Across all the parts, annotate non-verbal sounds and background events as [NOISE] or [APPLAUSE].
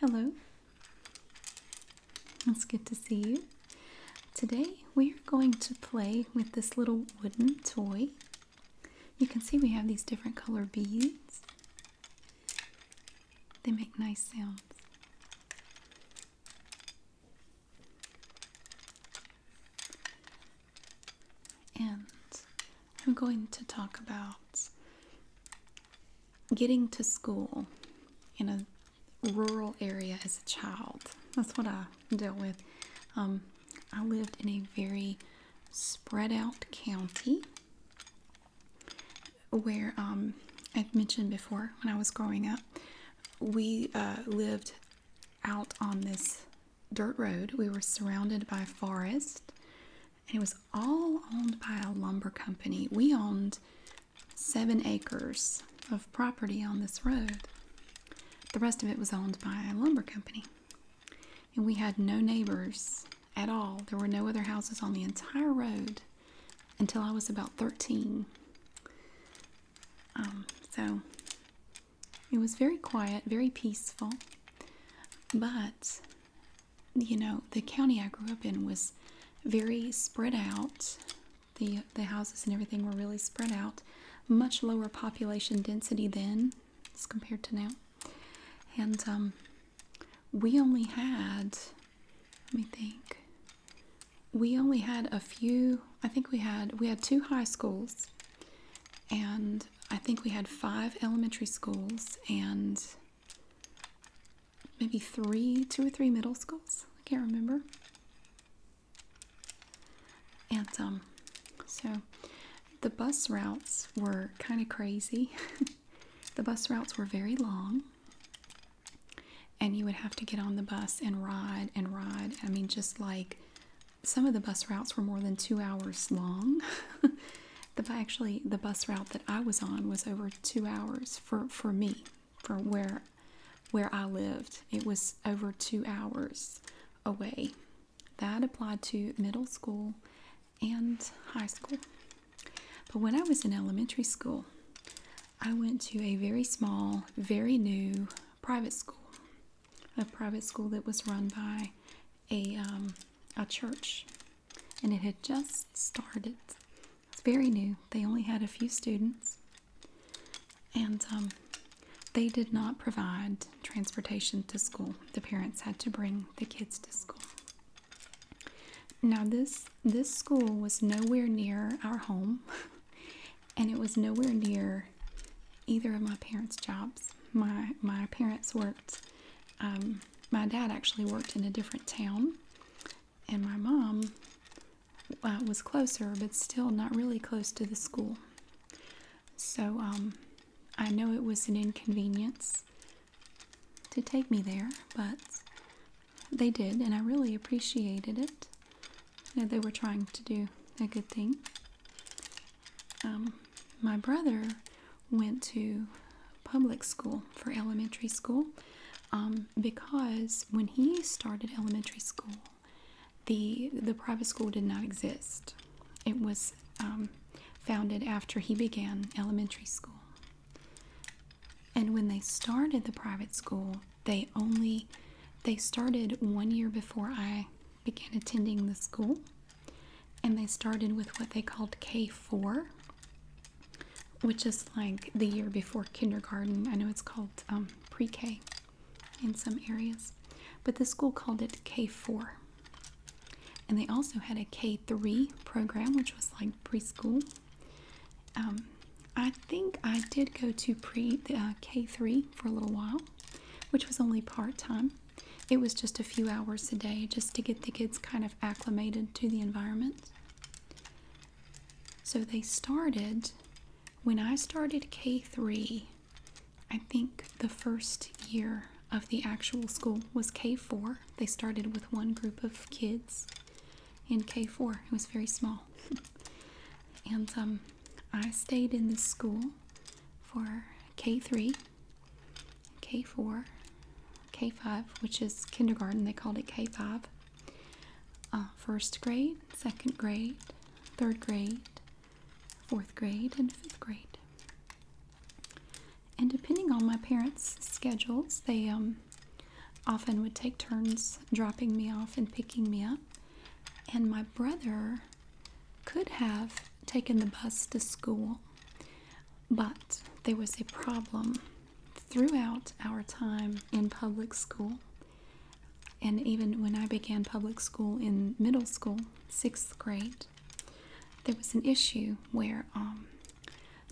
Hello. It's good to see you. Today we're going to play with this little wooden toy. You can see we have these different color beads. They make nice sounds. And I'm going to talk about getting to school in a rural area as a child. That's what I dealt with. Um, I lived in a very spread out county where um, I've mentioned before when I was growing up, we uh, lived out on this dirt road. We were surrounded by forest, and it was all owned by a lumber company. We owned seven acres of property on this road. The rest of it was owned by a lumber company. And we had no neighbors at all. There were no other houses on the entire road until I was about 13. Um, so it was very quiet, very peaceful. But, you know, the county I grew up in was very spread out. The, the houses and everything were really spread out. Much lower population density then as compared to now. And um, we only had, let me think, we only had a few, I think we had, we had two high schools and I think we had five elementary schools and maybe three, two or three middle schools. I can't remember. And um, so the bus routes were kind of crazy. [LAUGHS] the bus routes were very long. And you would have to get on the bus and ride and ride. I mean, just like some of the bus routes were more than two hours long. [LAUGHS] the actually the bus route that I was on was over two hours for me, for where I lived. It was over two hours away. That applied to middle school and high school. But when I was in elementary school, I went to a very small, very new private school a private school that was run by a um, a church, and it had just started. It's very new. They only had a few students, and um, they did not provide transportation to school. The parents had to bring the kids to school. Now this this school was nowhere near our home, [LAUGHS] and it was nowhere near either of my parents' jobs. My my parents worked. Um, my dad actually worked in a different town, and my mom uh, was closer, but still not really close to the school. So um, I know it was an inconvenience to take me there, but they did, and I really appreciated it. they were trying to do a good thing. Um, my brother went to public school for elementary school um, because when he started elementary school, the the private school did not exist. It was um, founded after he began elementary school. And when they started the private school, they only they started one year before I began attending the school and they started with what they called K4, which is like the year before kindergarten. I know it's called um, pre K in some areas, but the school called it K4. And they also had a K3 program, which was like preschool. Um, I think I did go to pre uh, K3 for a little while, which was only part time it was just a few hours a day just to get the kids kind of acclimated to the environment. So they started, when I started K3, I think the first year of the actual school was K4. They started with one group of kids in K4, it was very small. [LAUGHS] and um, I stayed in this school for K3, K4, K5, which is kindergarten, they called it K5, uh, first grade, second grade, third grade, fourth grade, and fifth grade. And depending on my parents' schedules, they um, often would take turns dropping me off and picking me up. And my brother could have taken the bus to school, but there was a problem throughout our time in public school. And even when I began public school in middle school, sixth grade, there was an issue where, um,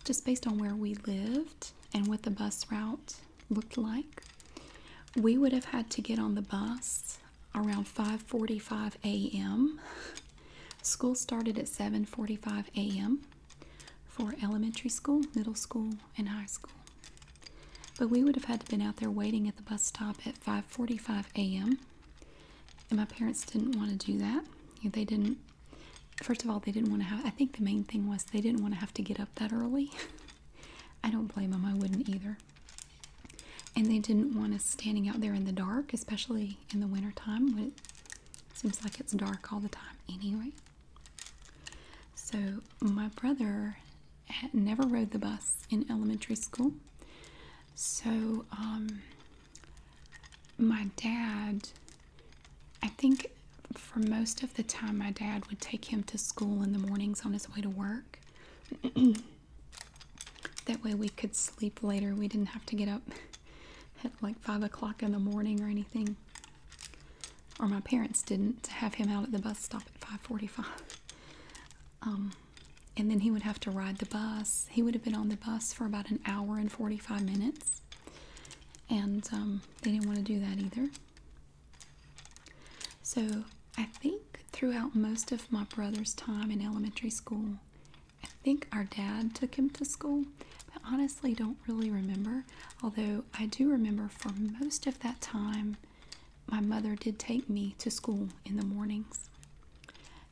just based on where we lived and what the bus route looked like, we would have had to get on the bus around 5:45 a.m. School started at 7:45 a.m. for elementary school, middle school, and high school. But we would have had to been out there waiting at the bus stop at 5:45 a.m. And my parents didn't want to do that. They didn't. First of all, they didn't want to have. I think the main thing was they didn't want to have to get up that early. [LAUGHS] I don't blame them. I wouldn't either and they didn't want us standing out there in the dark, especially in the wintertime when it seems like it's dark all the time anyway. So, my brother had never rode the bus in elementary school. So, um, my dad, I think for most of the time, my dad would take him to school in the mornings on his way to work. [CLEARS THROAT] That way we could sleep later. We didn't have to get up [LAUGHS] at like 5 o'clock in the morning or anything. Or my parents didn't have him out at the bus stop at 545. [LAUGHS] Um, and then he would have to ride the bus. He would have been on the bus for about an hour and 45 minutes. And um, they didn't want to do that either. So I think throughout most of my brother's time in elementary school, I think our dad took him to school, but honestly don't really remember. Although I do remember for most of that time, my mother did take me to school in the mornings.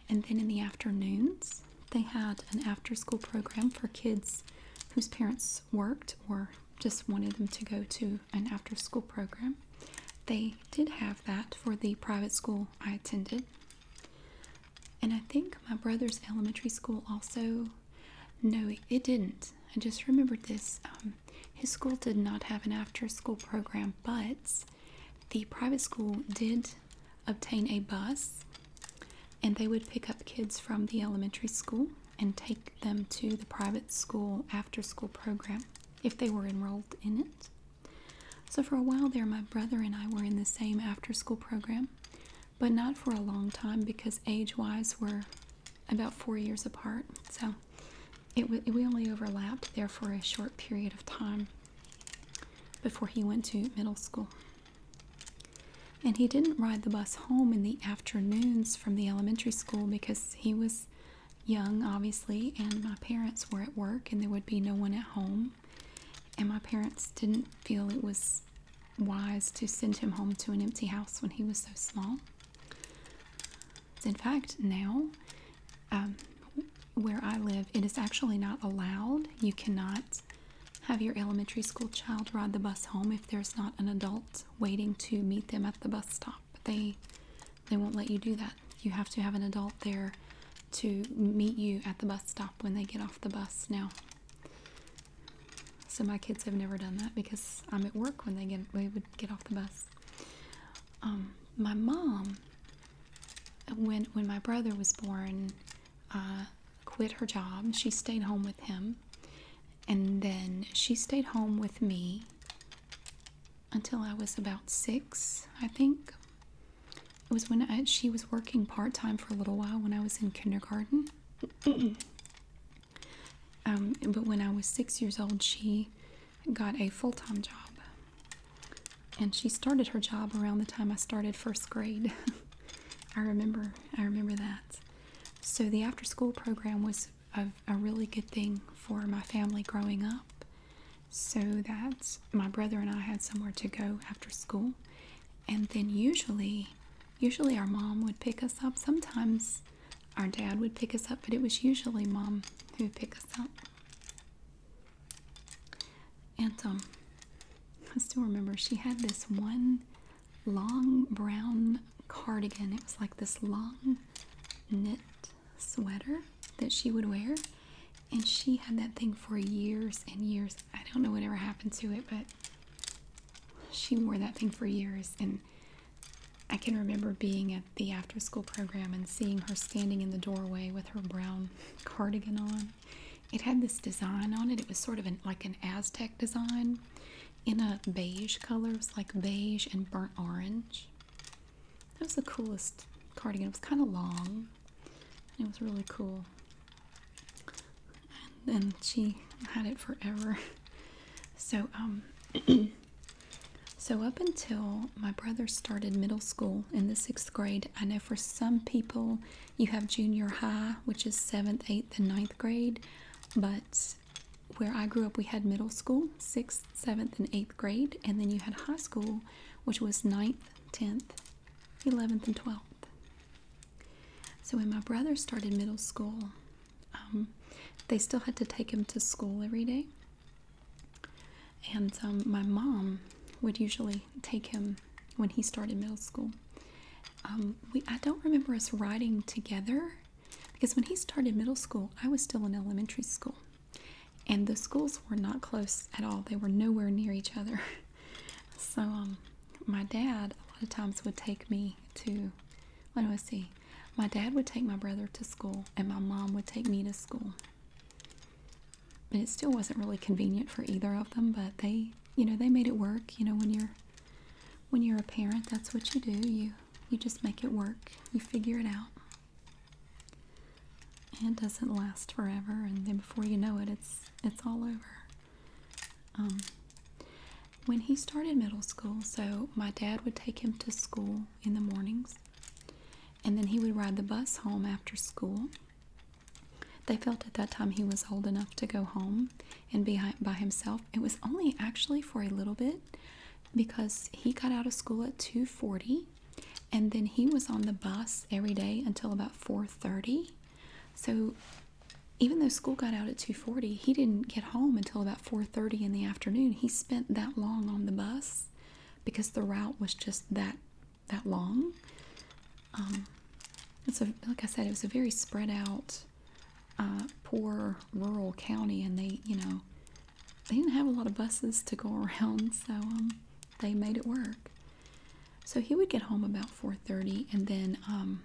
And then in the afternoons, they had an after school program for kids whose parents worked or just wanted them to go to an after school program. They did have that for the private school I attended. And I think my brother's elementary school also. No, it didn't. I just remembered this. Um, his school did not have an after school program, but the private school did obtain a bus and they would pick up kids from the elementary school and take them to the private school after school program if they were enrolled in it. So, for a while there, my brother and I were in the same after school program, but not for a long time because age wise we're about four years apart. So, it we only overlapped there for a short period of time before he went to middle school. And he didn't ride the bus home in the afternoons from the elementary school because he was young, obviously, and my parents were at work and there would be no one at home. And my parents didn't feel it was wise to send him home to an empty house when he was so small. In fact, now um, where I live, it is actually not allowed. You cannot have your elementary school child ride the bus home if there's not an adult waiting to meet them at the bus stop. They they won't let you do that. You have to have an adult there to meet you at the bus stop when they get off the bus now. So my kids have never done that because I'm at work when they get they would get off the bus. Um, my mom, when when my brother was born, uh, quit her job. She stayed home with him, and then she stayed home with me until I was about six, I think. It was when she was working part time for a little while when I was in kindergarten. [CLEARS THROAT] Um, but when I was six years old, she got a full time job. And she started her job around the time I started first grade. [LAUGHS] I remember, I remember that. So the after school program was a, a really good thing for my family growing up. So that my brother and I had somewhere to go after school. And then usually, usually our mom would pick us up. Sometimes our dad would pick us up, but it was usually mom who would pick us up. And um, I still remember she had this one long brown cardigan. It was like this long knit sweater that she would wear. And she had that thing for years and years. I don't know whatever happened to it, but she wore that thing for years. And I can remember being at the after school program and seeing her standing in the doorway with her brown cardigan on. It had this design on it. It was sort of an, like an Aztec design in a beige color. It was like beige and burnt orange. That was the coolest cardigan. It was kind of long. it was really cool. And then she had it forever. [LAUGHS] So um [CLEARS THROAT] so up until my brother started middle school in the 6th grade, I know for some people you have junior high, which is 7th, 8th and ninth grade, but where I grew up, we had middle school, sixth, seventh, and eighth grade, and then you had high school, which was ninth, tenth, eleventh, and twelfth. So when my brother started middle school, um, they still had to take him to school every day, and um, my mom would usually take him when he started middle school. Um, we I don't remember us riding together because when he started middle school, I was still in elementary school. And the schools were not close at all. They were nowhere near each other. [LAUGHS] So um, my dad a lot of times would take me to, what do I see? My dad would take my brother to school and my mom would take me to school. And it still wasn't really convenient for either of them, but they, you know, they made it work. You know, when you're when you're a parent, that's what you do. You you just make it work. You figure it out. And it doesn't last forever, and then before you know it, it's it's all over. Um, when he started middle school, so my dad would take him to school in the mornings, and then he would ride the bus home after school. They felt at that time he was old enough to go home, and be by himself. It was only actually for a little bit because he got out of school at 2:40 and then he was on the bus every day until about 4:30. So even though school got out at 2:40, he didn't get home until about 4:30 in the afternoon. He spent that long on the bus because the route was just that that long. Um, it's a like I said, it was a very spread out uh, poor rural county, and they, you know, they didn't have a lot of buses to go [LAUGHS] around, so um, they made it work. So he would get home about four thirty, and then um,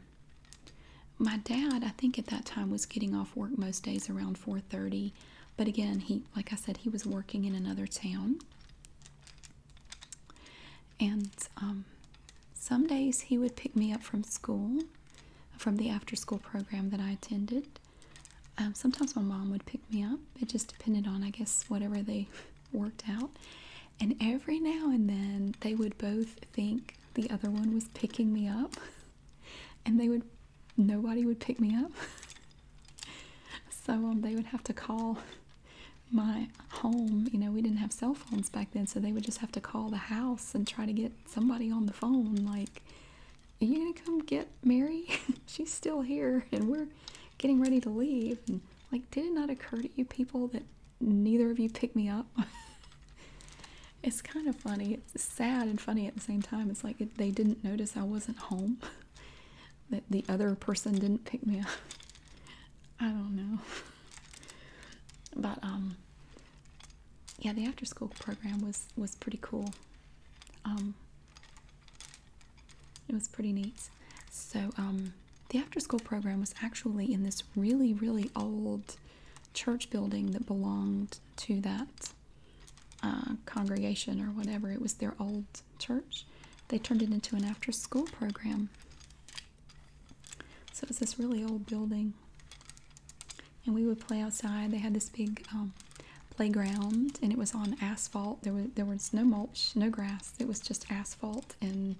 my dad, I think at that time, was getting off work most days around four thirty. But again, he, like I said, he was working in another town, and um, some days he would pick me up from school from the after school program that I attended. Um, sometimes my mom would pick me up. It just depended on, I guess, whatever they worked out. And every now and then they would both think the other one was picking me up, [LAUGHS] and they would, nobody would pick me up. [LAUGHS] so um, they would have to call my home. You know, we didn't have cell phones back then, so they would just have to call the house and try to get somebody on the phone like are you gonna come get mary [LAUGHS] she's still here and we're getting ready to leave and like did it not occur to you people that neither of you picked me up [LAUGHS] it's kind of funny it's sad and funny at the same time it's like they didn't notice i wasn't home [LAUGHS] that the other person didn't pick me up i don't know but um, yeah the after school program was was pretty cool um, it was pretty neat so um, the after school program was actually in this really really old church building that belonged to that uh, congregation or whatever it was their old church they turned it into an after school program so it's this really old building and we would play outside. They had this big um, playground, and it was on asphalt. There was there was no mulch, no grass. It was just asphalt and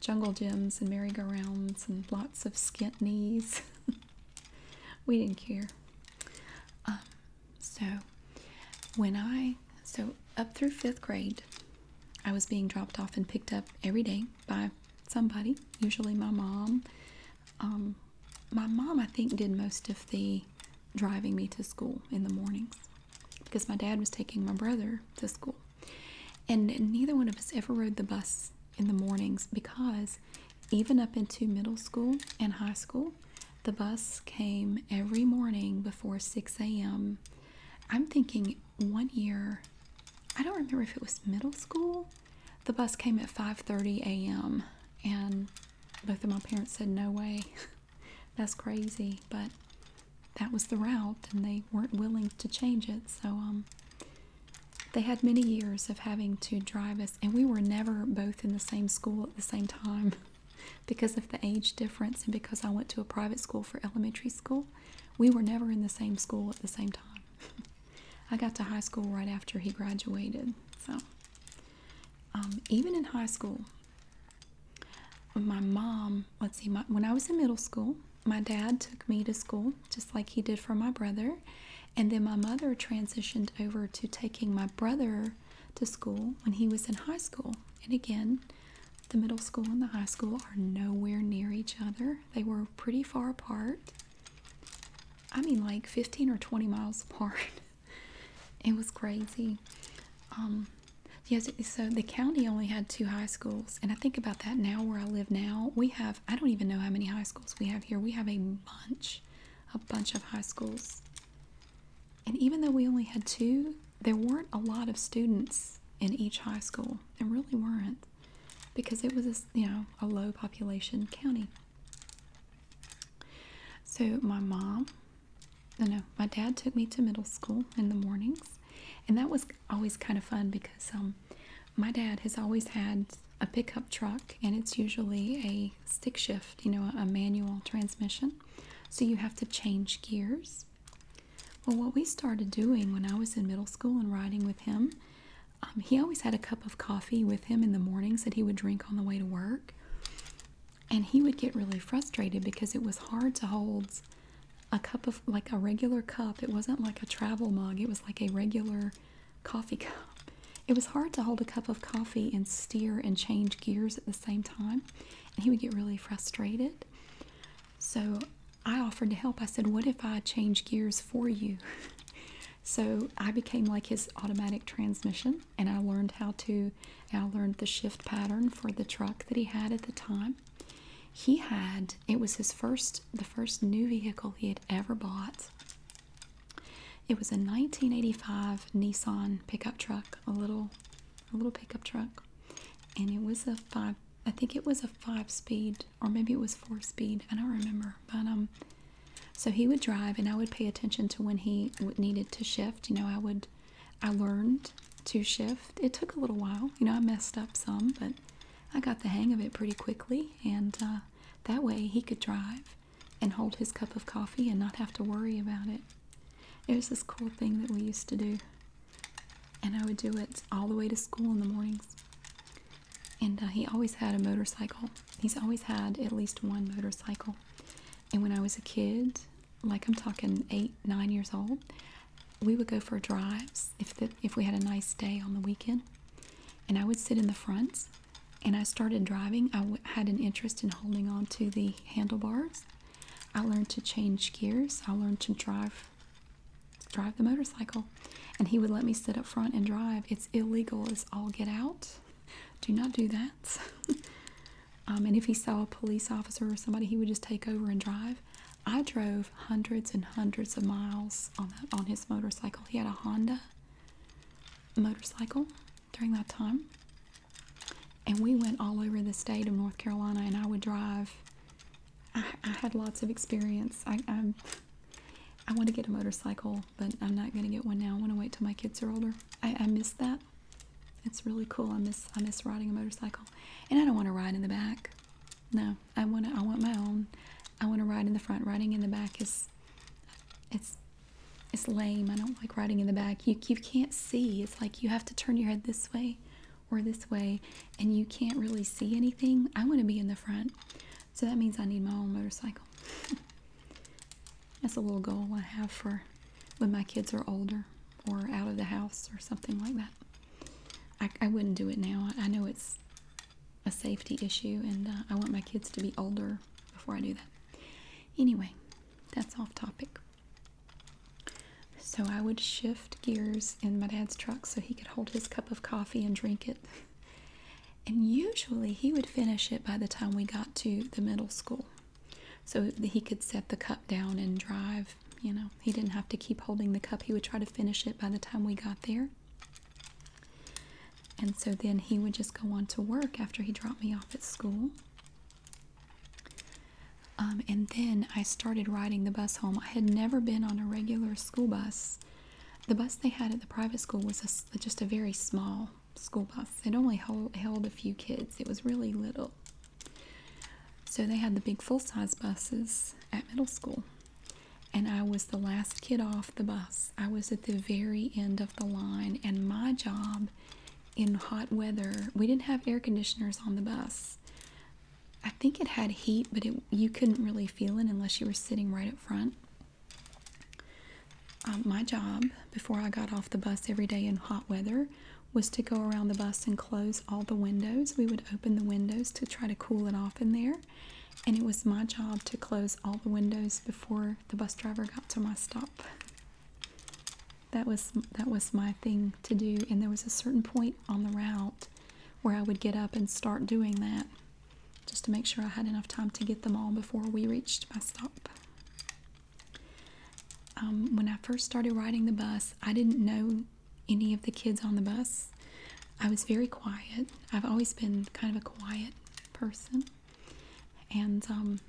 jungle gyms and merry-go-rounds and lots of skint knees. [LAUGHS] we didn't care. Um, so when I so up through fifth grade, I was being dropped off and picked up every day by somebody, usually my mom. Um, my mom, I think, did most of the driving me to school in the mornings because my dad was taking my brother to school. And neither one of us ever rode the bus in the mornings because even up into middle school and high school, the bus came every morning before 6 a.m. I'm thinking one year, I don't remember if it was middle school. The bus came at 5:30 a.m. and both of my parents said no way. [LAUGHS] That's crazy, but that was the route and they weren't willing to change it. So um they had many years of having to drive us and we were never both in the same school at the same time [LAUGHS] because of the age difference and because I went to a private school for elementary school. We were never in the same school at the same time. [LAUGHS] I got to high school right after he graduated. So, um, even in high school, my mom, let's see, when I was in middle school, my dad took me to school just like he did for my brother. And then my mother transitioned over to taking my brother to school when he was in high school. And again, the middle school and the high school are nowhere near each other. They were pretty far apart. I mean, like 15 or 20 miles [LAUGHS] apart. it was crazy. Um, yes, so the county only had two high schools, and I think about that now where I live now. We have, I don't even know how many high schools we have here. We have a bunch, a bunch of high schools. And even though we only had two, there weren't a lot of students in each high school. There really weren't because it was a, you know a low population county. So my mom, no, no, my dad took me to middle school in the mornings, and that was always kind of fun because um, my dad has always had a pickup truck, and it's usually a stick shift, you know, a manual transmission. So you have to change gears well, what we started doing when I was in middle school and riding with him, um, he always had a cup of coffee with him in the mornings that he would drink on the way to work. And he would get really frustrated because it was hard to hold a cup of, like a regular cup. It wasn't like a travel mug, it was like a regular coffee [LAUGHS] cup. It was hard to hold a cup of coffee and steer and change gears at the same time. And he would get really frustrated. So I offered to help. I said, What if I change gears for you? [LAUGHS] so I became like his automatic transmission and I learned how to, I learned the shift pattern for the truck that he had at the time. He had, it was his first, the first new vehicle he had ever bought. It was a 1985 Nissan pickup truck, a little, a little pickup truck, and it was a five I think it was a five speed or maybe it was four speed. I don't remember. But um, so he would drive and I would pay attention to when he would needed to shift. You know, I would, I learned to shift. It took a little while. You know, I messed up some, but I got the hang of it pretty quickly. And uh, that way he could drive and hold his cup of coffee and not have to worry about it. It was this cool thing that we used to do and I would do it all the way to school in the mornings. And uh, he always had a motorcycle. He's always had at least one motorcycle. And when I was a kid, like I'm talking eight, nine years old, we would go for drives if if we had a nice day on the weekend. And I would sit in the front, and I started driving. I had an interest in holding on to the handlebars. I learned to change gears. I learned to drive drive the motorcycle. And he would let me sit up front and drive. It's illegal as I'll get out. Do not do that. [LAUGHS] Um, and if he saw a police officer or somebody, he would just take over and drive. I drove hundreds and hundreds of miles on on his motorcycle. He had a Honda motorcycle during that time. And we went all over the state of North Carolina, and I would drive I, had lots of experience. I am I want to get a motorcycle, but I'm not going to get one now. I want to wait till my kids are older. I, miss that. It's really cool. I miss I miss riding a motorcycle, and I don't want to ride in the back. No, I want I want my own. I want to ride in the front. Riding in the back is, it's, it's lame. I don't like riding in the back. You you can't see. It's like you have to turn your head this way or this way and you can't really see anything, I want to be in the front. So that means I need my own motorcycle. [LAUGHS] That's a little goal I have for when my kids are older or out of the house or something like that. I, wouldn't do it now. I know it's a safety issue and uh, I want my kids to be older before I do that. Anyway, that's off topic. So I would shift gears in my dad's truck so he could hold his cup of coffee and drink it. And usually he would finish it by the time we got to the middle school so he could set the cup down and drive. You know, he didn't have to keep holding the cup. He would try to finish it by the time we got there. And so then he would just go on to work after he dropped me off at school. Um, and then I started riding the bus home. I had never been on a regular school bus. The bus they had at the private school was just a very small school bus. It only held a few kids. It was really little. So they had the big full-size buses at middle school. And I was the last kid off the bus. I was at the very end of the line. And my job in hot weather, we didn't have air conditioners on the bus. I think it had heat, but you couldn't really feel it unless you were sitting right up front. Um, my job before I got off the bus every day in hot weather was to go around the bus and close all the windows. We would open the windows to try to cool it off in there. And it was my job to close all the windows before the bus driver got to my stop. That was that was my thing to do. And there was a certain point on the route where I would get up and start doing that just to make sure I had enough time to get them all before we reached my stop. Um, when I first started riding the bus, I didn't know any of the kids on the bus. I was very quiet. I've always been kind of a quiet person. And um,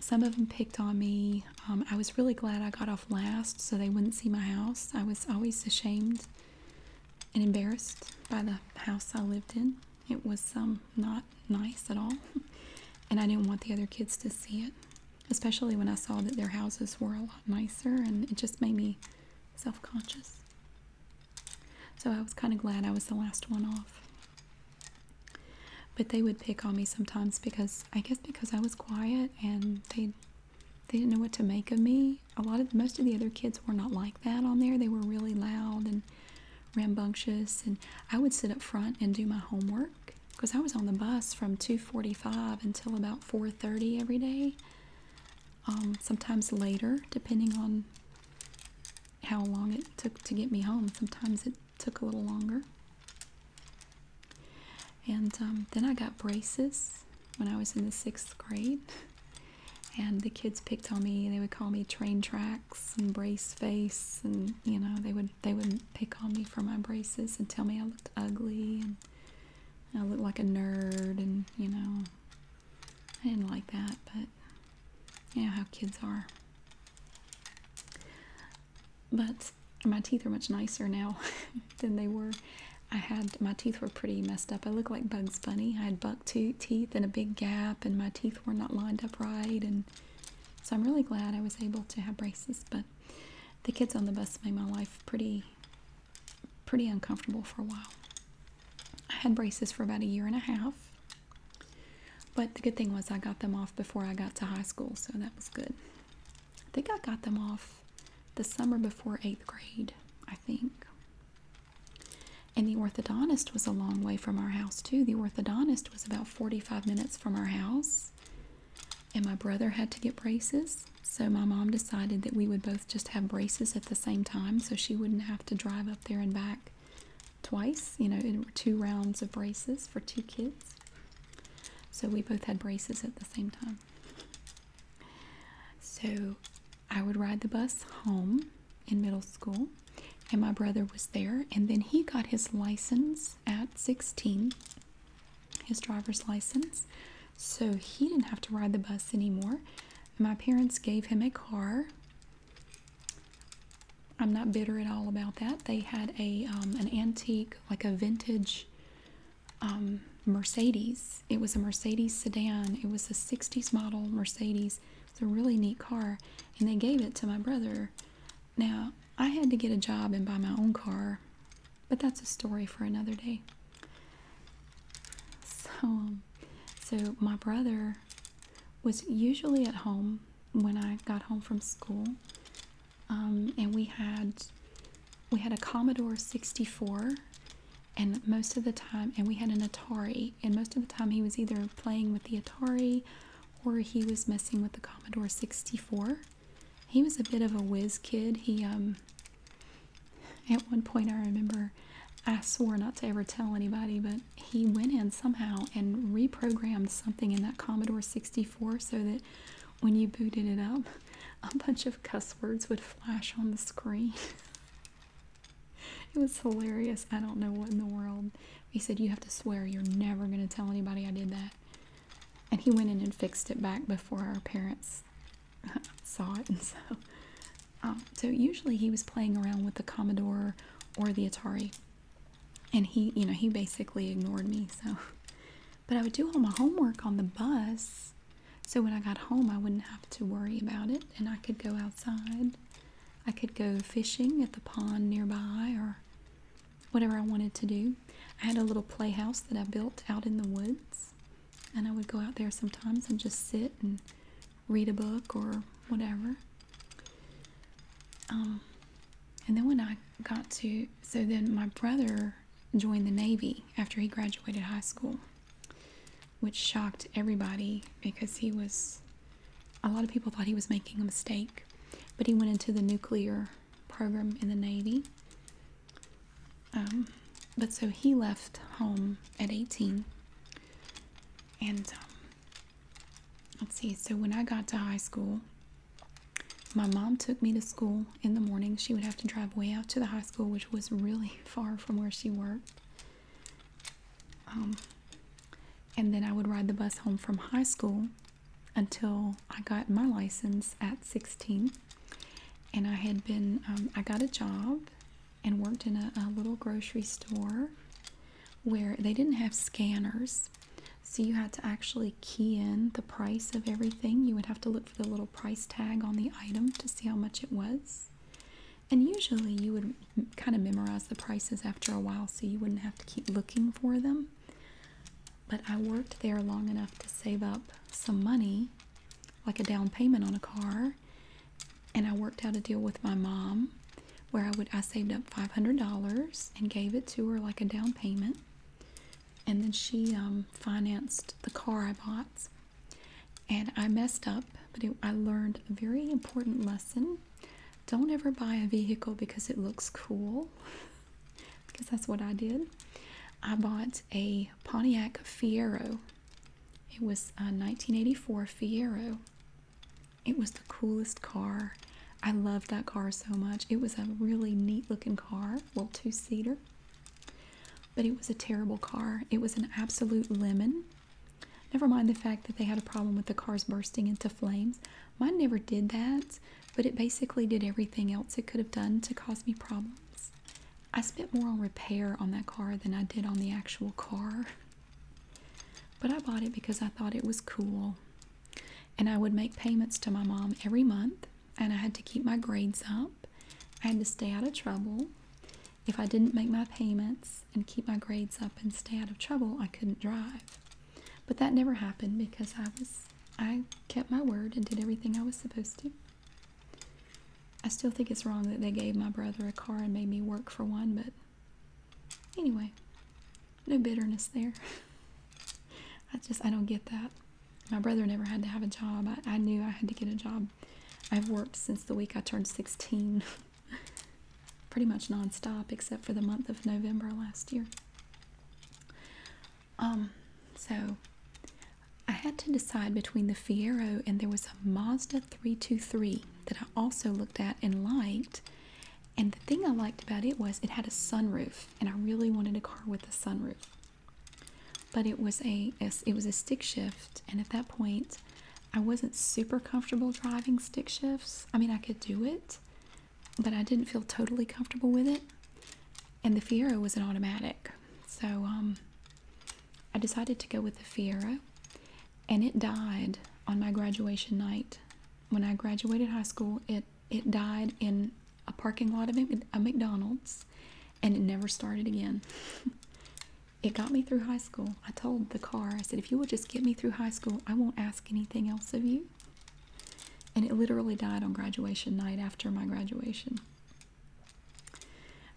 some of them picked on me um, I was really glad I got off last so they wouldn't see my house. I was always ashamed and embarrassed by the house I lived in. It was um, not nice at all, [LAUGHS] and I didn't want the other kids to see it, especially when I saw that their houses were a lot nicer, and it just made me self conscious. So I was kind of glad I was the last one off. But they would pick on me sometimes because I guess because I was quiet and they they didn't know what to make of me. A lot of most of the other kids were not like that on there. They were really loud and rambunctious, and I would sit up front and do my homework because I was on the bus from 2:45 until about 4:30 every day. Um, sometimes later, depending on how long it took to get me home. Sometimes it took a little longer. And um, then I got braces when I was in the sixth grade. And the kids picked on me. They would call me train tracks and brace face, and you know they would they would pick on me for my braces and tell me I looked ugly and I looked like a nerd, and you know I didn't like that. But you know how kids are. But my teeth are much nicer now [LAUGHS] than they were. I had my teeth were pretty messed up. I looked like Bugs Bunny. I had buck teeth and a big gap, and my teeth were not lined up right. And so I'm really glad I was able to have braces. But the kids on the bus made my life pretty, pretty uncomfortable for a while. I had braces for about a year and a half. But the good thing was I got them off before I got to high school, so that was good. I think I got them off the summer before eighth grade, I think. And the orthodontist was a long way from our house, too. The orthodontist was about 45 minutes from our house. And my brother had to get braces. So my mom decided that we would both just have braces at the same time so she wouldn't have to drive up there and back twice. You know, two rounds of braces for two kids. So we both had braces at the same time. So I would ride the bus home in middle school, and my brother was there, and then he got his license at 16, his driver's license. So he didn't have to ride the bus anymore. My parents gave him a car. I'm not bitter at all about that. They had a um, an antique, like a vintage um, Mercedes. It was a Mercedes sedan. It was a 60s model Mercedes. It's a really neat car, and they gave it to my brother. Now, I had to get a job and buy my own car, but that's a story for another day. So, um, so my brother was usually at home when I got home from school. Um, and we had we had a Commodore 64 and most of the time and we had an Atari and most of the time he was either playing with the Atari or he was messing with the Commodore 64. He was a bit of a whiz kid. He um, at one point I remember I swore not to ever tell anybody, but he went in somehow and reprogrammed something in that Commodore 64 so that when you booted it up, a bunch of cuss words would flash on the screen. [LAUGHS] it was hilarious. I don't know what in the world. He said, You have to swear you're never going to tell anybody I did that. And he went in and fixed it back before our parents [LAUGHS] saw it. [LAUGHS] And so, um, so usually he was playing around with the Commodore or the Atari. And he, you know, he basically ignored me. So but I would do all my homework on the bus. So when I got home, I wouldn't have to worry about it and I could go outside. I could go fishing at the pond nearby or whatever I wanted to do. I had a little playhouse that I built out in the woods. And I would go out there sometimes and just sit and read a book or whatever. Um, and then when I got to, so then my brother joined the Navy after he graduated high school, which shocked everybody because he was, a lot of people thought he was making a mistake, but he went into the nuclear program in the Navy. Um, but so he left home at 18. And um, let's see, so when I got to high school, my mom took me to school in the morning. She would have to drive way out to the high school, which was really [LAUGHS] far from where she worked. Um, and then I would ride the bus home from high school until I got my license at 16. And I had been, um, I got a job and worked in a little grocery store where they didn't have scanners so you had to actually key in the price of everything. You would have to look for the little price tag on the item to see how much it was. And usually you would kind of memorize the prices after a while so you wouldn't have to keep looking for them. But I worked there long enough to save up some money, like a down payment on a car. And I worked out a deal with my mom where I would I saved up $500 and gave it to her like a down payment and then she um, financed the car I bought. And I messed up, but I learned a very important lesson. Don't ever buy a vehicle because it looks cool, because [LAUGHS] that's what I did. I bought a Pontiac Fiero. It was a 1984 Fiero. It was the coolest car I loved that car so much. It was a really neat looking car, little two seater, but it was a terrible car. It was an absolute lemon. Never mind the fact that they had a problem with the cars bursting into flames. Mine never did that, but it basically did everything else it could have done to cause me problems. I spent more on repair on that car than I did on the actual car. But I bought it because I thought it was cool. And I would make payments to my mom every month, and I had to keep my grades up. I had to stay out of trouble. If I didn't make my payments and keep my grades up and stay out of trouble, I couldn't drive. But that never happened because I was I kept my word and did everything I was supposed to. I still think it's wrong that they gave my brother a car and made me work for one, but anyway, no bitterness there. [LAUGHS] I just I don't get that. My brother never had to have a job. I, I knew I had to get a job. I've worked since the week I turned 16. [LAUGHS] Pretty much nonstop except for the month of November last year. Um, so I had to decide between the Fiero and there was a Mazda 323 that I also looked at and liked. And the thing I liked about it was it had a sunroof, and I really wanted a car with a sunroof. But it was a, it was a stick shift, and at that point, I wasn't super comfortable driving stick shifts. I mean, I could do it, but I didn't feel totally comfortable with it. And the Fiero was an automatic, so um, I decided to go with the Fiero, and it died on my graduation night. When I graduated high school, it it died in a parking lot of a McDonald's and it never started again. [LAUGHS] it got me through high school. I told the car, I said, if you will just get me through high school, I won't ask anything else of you. And it literally died on graduation night after my graduation.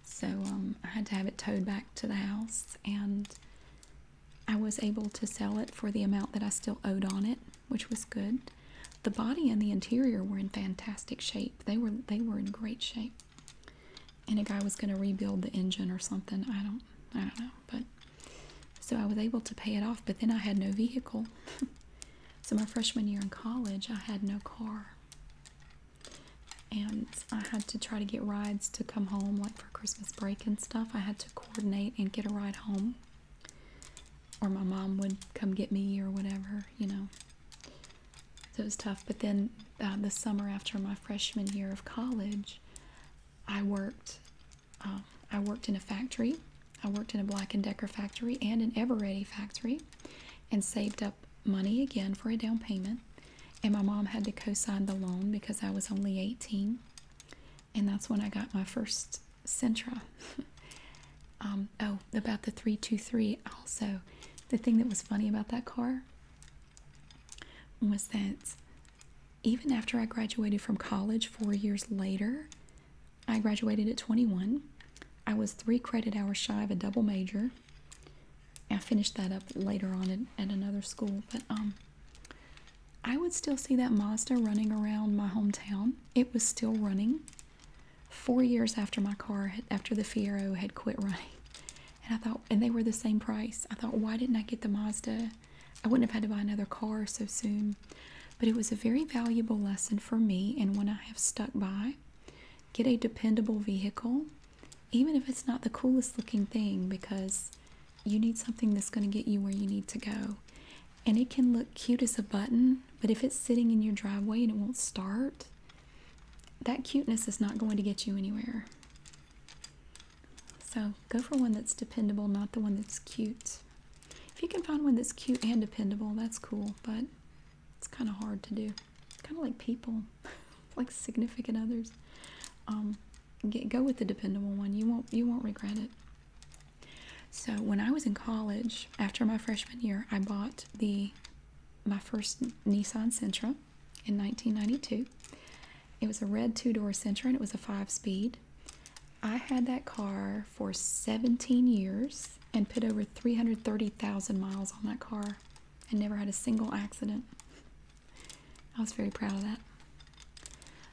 So um, I had to have it towed back to the house and I was able to sell it for the amount that I still owed on it, which was good. The body and the interior were in fantastic shape. They were they were in great shape. And a guy was going to rebuild the engine or something. I don't I don't know, but so I was able to pay it off, but then I had no vehicle. [LAUGHS] so my freshman year in college, I had no car. And I had to try to get rides to come home like for Christmas break and stuff. I had to coordinate and get a ride home or my mom would come get me or whatever, you know. it was tough. But then uh, the summer after my freshman year of college, I worked. Um, I worked in a factory. I worked in a Black and Decker factory and an Eveready factory, and saved up money again for a down payment. And my mom had to co-sign the loan because I was only 18 and that's when I got my first Sentra. [LAUGHS] Um, oh, about the 323 also. The thing that was funny about that car was that even after I graduated from college four years later, I graduated at 21. I was three credit hours shy of a double major. I finished that up later on at, at another school, but um, I would still see that Mazda running around my hometown. It was still running four years after my car, after the Fiero had quit running. [LAUGHS] And I thought, and they were the same price. I thought, why didn't I get the Mazda? I wouldn't have had to buy another car so soon. But it was a very valuable lesson for me and one I have stuck by. Get a dependable vehicle, even if it's not the coolest looking thing, because you need something that's going to get you where you need to go. And it can look cute as a button, but if it's sitting in your driveway and it won't start, that cuteness is not going to get you anywhere. So go for one that's dependable, not the one that's cute. If you can find one that's cute and dependable, that's cool, but it's kind of hard to do. Kind of like people, [LAUGHS] like significant others. Um, go with the dependable one. You won't you won't regret it. So when I was in college, after my freshman year, I bought the my first Nissan Sentra in 1992. It was a red two-door Sentra and it was a five-speed. I had that car for 17 years and put over 330,000 miles on that car and never had a single accident. I was very proud of that.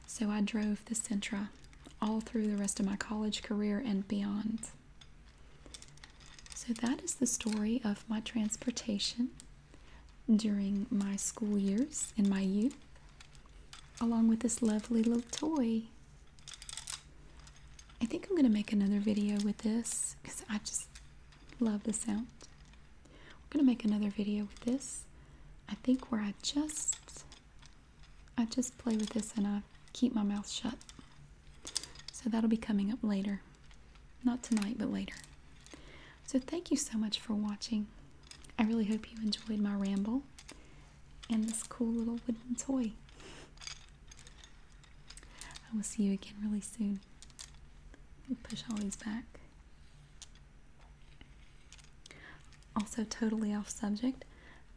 So I drove the Sentra all through the rest of my college career and beyond. So that is the story of my transportation during my school years in my youth, along with this lovely little toy. I think I'm going to make another video with this because I just love the sound. We're gonna make another video with this. I think where I just I just play with this and I keep my mouth shut. So that'll be coming up later. Not tonight, but later. So thank you so much for watching. I really hope you enjoyed my ramble and this cool little wooden toy. I will see you again really soon. Push all these back. Also, totally off subject,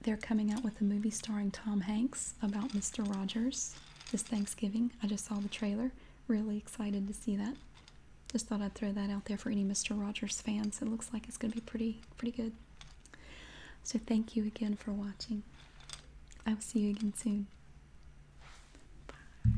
they're coming out with a movie starring Tom Hanks about Mr. Rogers this Thanksgiving. I just saw the trailer. Really excited to see that. Just thought I'd throw that out there for any Mr. Rogers fans. It looks like it's going to be pretty, pretty good. So thank you again for watching. I will see you again soon. Bye.